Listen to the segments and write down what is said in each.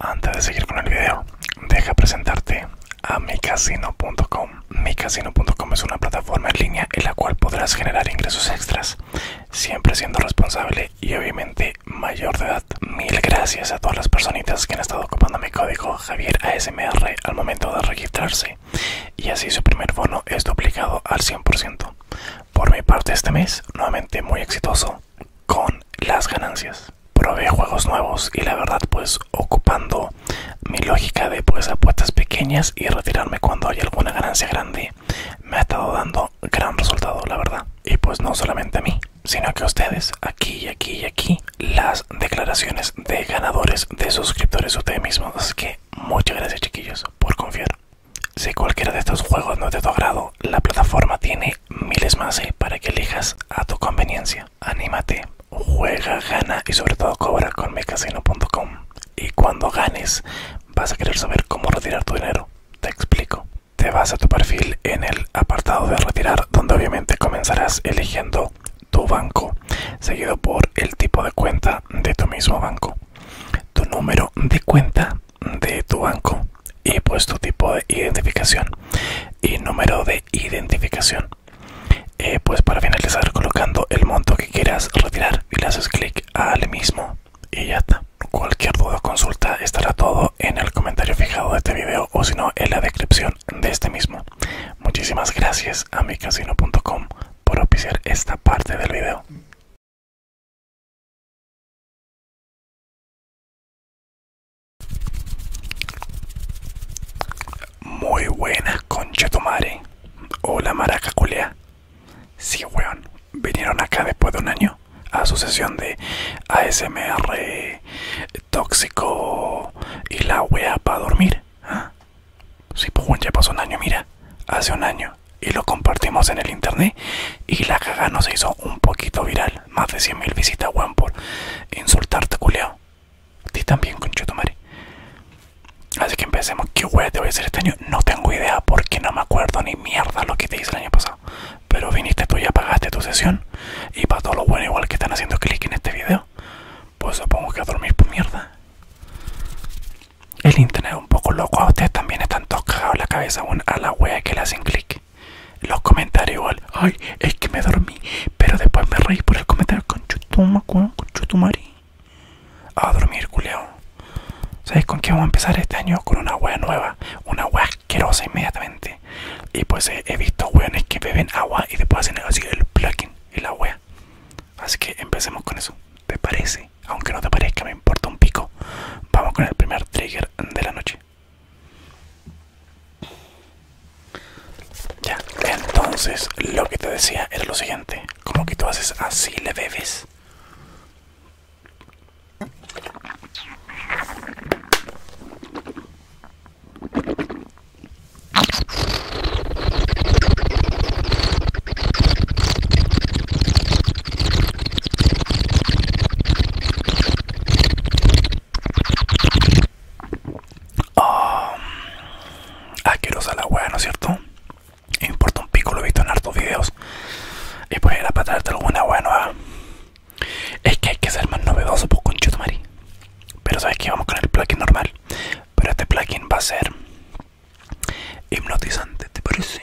Antes de seguir con el video, deja presentarte a micasino.com. Micasino.com es una plataforma en línea en la cual podrás generar ingresos extras, siempre siendo responsable y obviamente mayor de edad. Mil gracias a todas las personitas que han estado ocupando mi código Javier ASMR al momento de registrarse y así su primer bono es duplicado al 100%. Por mi parte este mes, nuevamente muy exitoso con las ganancias. Probé juegos nuevos y la verdad pues ocupando mi lógica de pues apuestas pequeñas y retirarme cuando hay alguna ganancia grande me ha estado dando gran resultado la verdad. Y pues no solamente a mí, sino que a ustedes, aquí y aquí y aquí, las declaraciones de ganadores, de suscriptores ustedes mismos. Así que muchas gracias chiquillos por confiar. Si cualquiera de estos juegos no es de tu agrado, la plataforma tiene miles más eh, para que elijas a tu conveniencia. Anímate, juega, gana y sobre todo cobra con mecasino.com. Y cuando ganes, vas a querer saber cómo retirar tu dinero. Te explico. Te vas a tu perfil en el apartado de retirar, donde obviamente comenzarás eligiendo tu banco, seguido por el tipo de cuenta de tu mismo banco, tu número de cuenta de tu banco y pues tu tipo de identificación y número de identificación eh, pues para finalizar colocando el monto que quieras retirar y le haces clic al mismo y ya está cualquier duda o consulta estará todo en el comentario fijado de este video o si no en la descripción de este mismo muchísimas gracias a mi casino.com por oficiar esta parte del video muy buenas, concha Hola, maraca Si Sí, weón. Vinieron acá después de un año a su de ASMR tóxico y la wea para dormir. Si ¿ah? Sí, pues ya pasó un año, mira. Hace un año. Y lo compartimos en el internet y la caga nos hizo un poquito viral más de 100.000 visitas, weón, por insultarte, culiao A ti también, mari Así que empecemos. ¿Qué weón te voy a hacer este año? No tengo idea porque no me acuerdo ni mierda lo que te hice el año pasado. Pero viniste tú y apagaste tu sesión. Y para todos los bueno, igual que están haciendo clic en este video, pues supongo que a dormir por pues, mierda. El internet es un poco loco. A ustedes también están todos la cabeza, weón, a la weas que le hacen clic. Los comentarios igual. Ay, es que me dormí. Pero después me reí por el comentario. Con chutuma, con chutumari. A dormir, culeo. ¿Sabes con qué vamos a empezar este año? Con una hueá nueva. Una hueá asquerosa inmediatamente. Y pues eh, he visto hueones que beben agua y después hacen así el plugin y la hueá Así que empecemos con eso. ¿Te parece? Aunque no te parezca, me importa un pico. Vamos con el primer trigger de la noche. Ya, entonces lo que te decía era lo siguiente. Como que tú haces así, le bebes. Ah, mm. ah, quiero usar la hueá, ¿no es cierto? Me importa un pico, lo he visto en hartos videos. Y pues era para traerte alguna hueá nueva. Es que hay que ser más novedoso, pues con Chutumari. Pero sabes que vamos con el plugin normal. Pero este plugin va a ser hipnotizante, ¿te parece?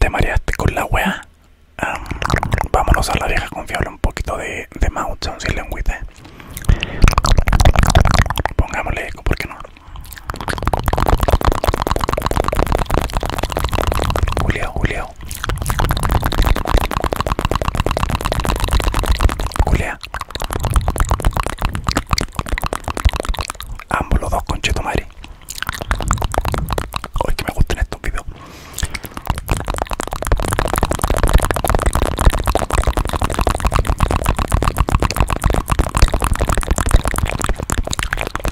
Te mareaste con la wea. vámonos a la vieja confiable un poquito de, de si Pongámosle eco, porque no? Julio, Julio. Ambos los dos conchetos madre. que me gustan estos vídeos.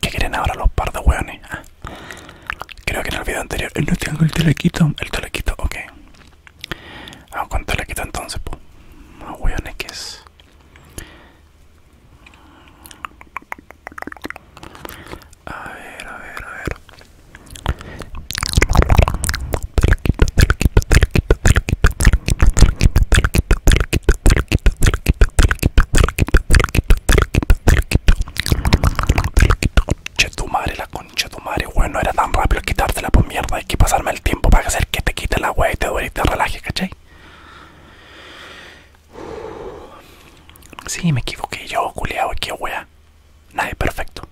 ¿Qué quieren ahora los par de weones? Ah. Creo que en el video anterior eh, no tengo este el telequito, el telequito, ok. Vamos con telequito entonces, pues. Más hueones que es. A ver, a ver, a ver. Che tu madre, la concha tu madre, bueno, era tan rápido quitársela por pues, mierda, hay que pasarme el tiempo para hacer que te quite la wea y te duele y te Sí, me equivoqué yo, culiao, qué wea. Nadie perfecto.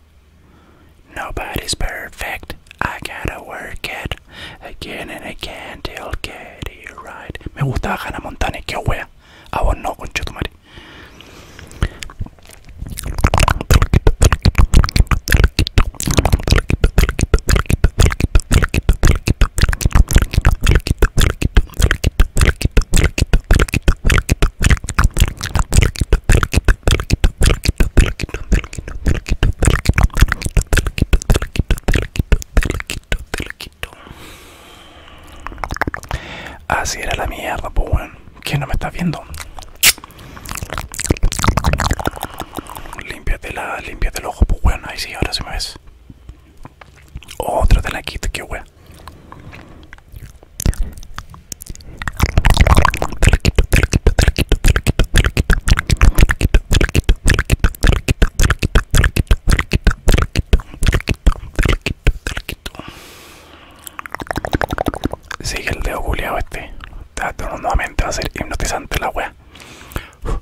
Nobody's perfect. I gotta work it again and again till get it right. Me gustaba Hannah Montana, qué wea. A vos no, quito Así era la mierda, pues bueno. ¿Quién no me está viendo? te la, el ojo, pues bueno, ahí sí, ahora sí me ves. Otro de la quita que wea. Sigue el dedo este. nuevamente va a ser hipnotizante la wea.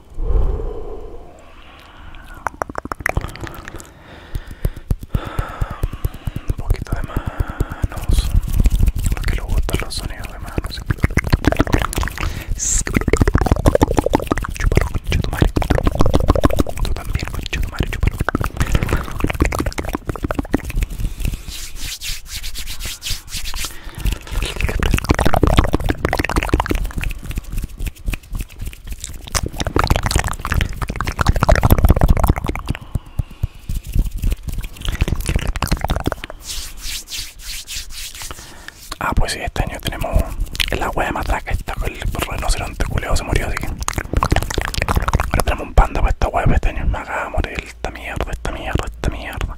Un poquito de manos. Lo que lo botan los sonidos de manos. Chúpalo, concha tu madre. Tú también, concha tu madre, chúpalo. Ah, pues sí, este año tenemos la hueá de que está con el rinoceronte culeo se murió, así que. Ahora tenemos un panda para esta hueá este año. Me acaba de morir esta mierda, esta mierda, esta mierda.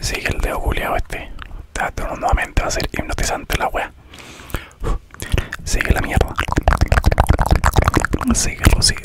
Sigue el de culiado este. Está nuevamente va a ser hipnotizante la wea. Sigue la mierda. Sigue sigue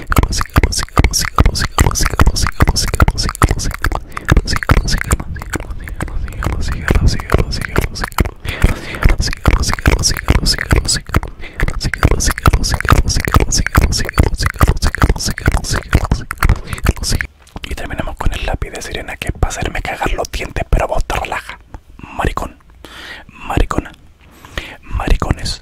Y terminamos con el lápiz de sirena que es para hacerme cagar los dientes, pero vos te relaja. Maricón, maricona, maricones,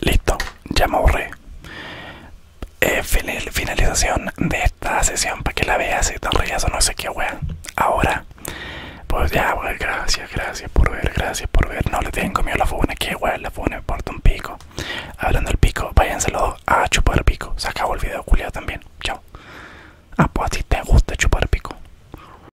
Listo, ya me borré. Eh, finalización de esta sesión para que la veas y tan o no sé qué wea. Ahora, pues ya, wey, gracias, gracias por ver, gracias por ver. No le tienen comido la funa, que wea, la funa me un pico. Hablando del pico, váyanselo a chupar pico. Se acabó el video, culiado también. Chao. Ah, pues si te gusta chupar pico.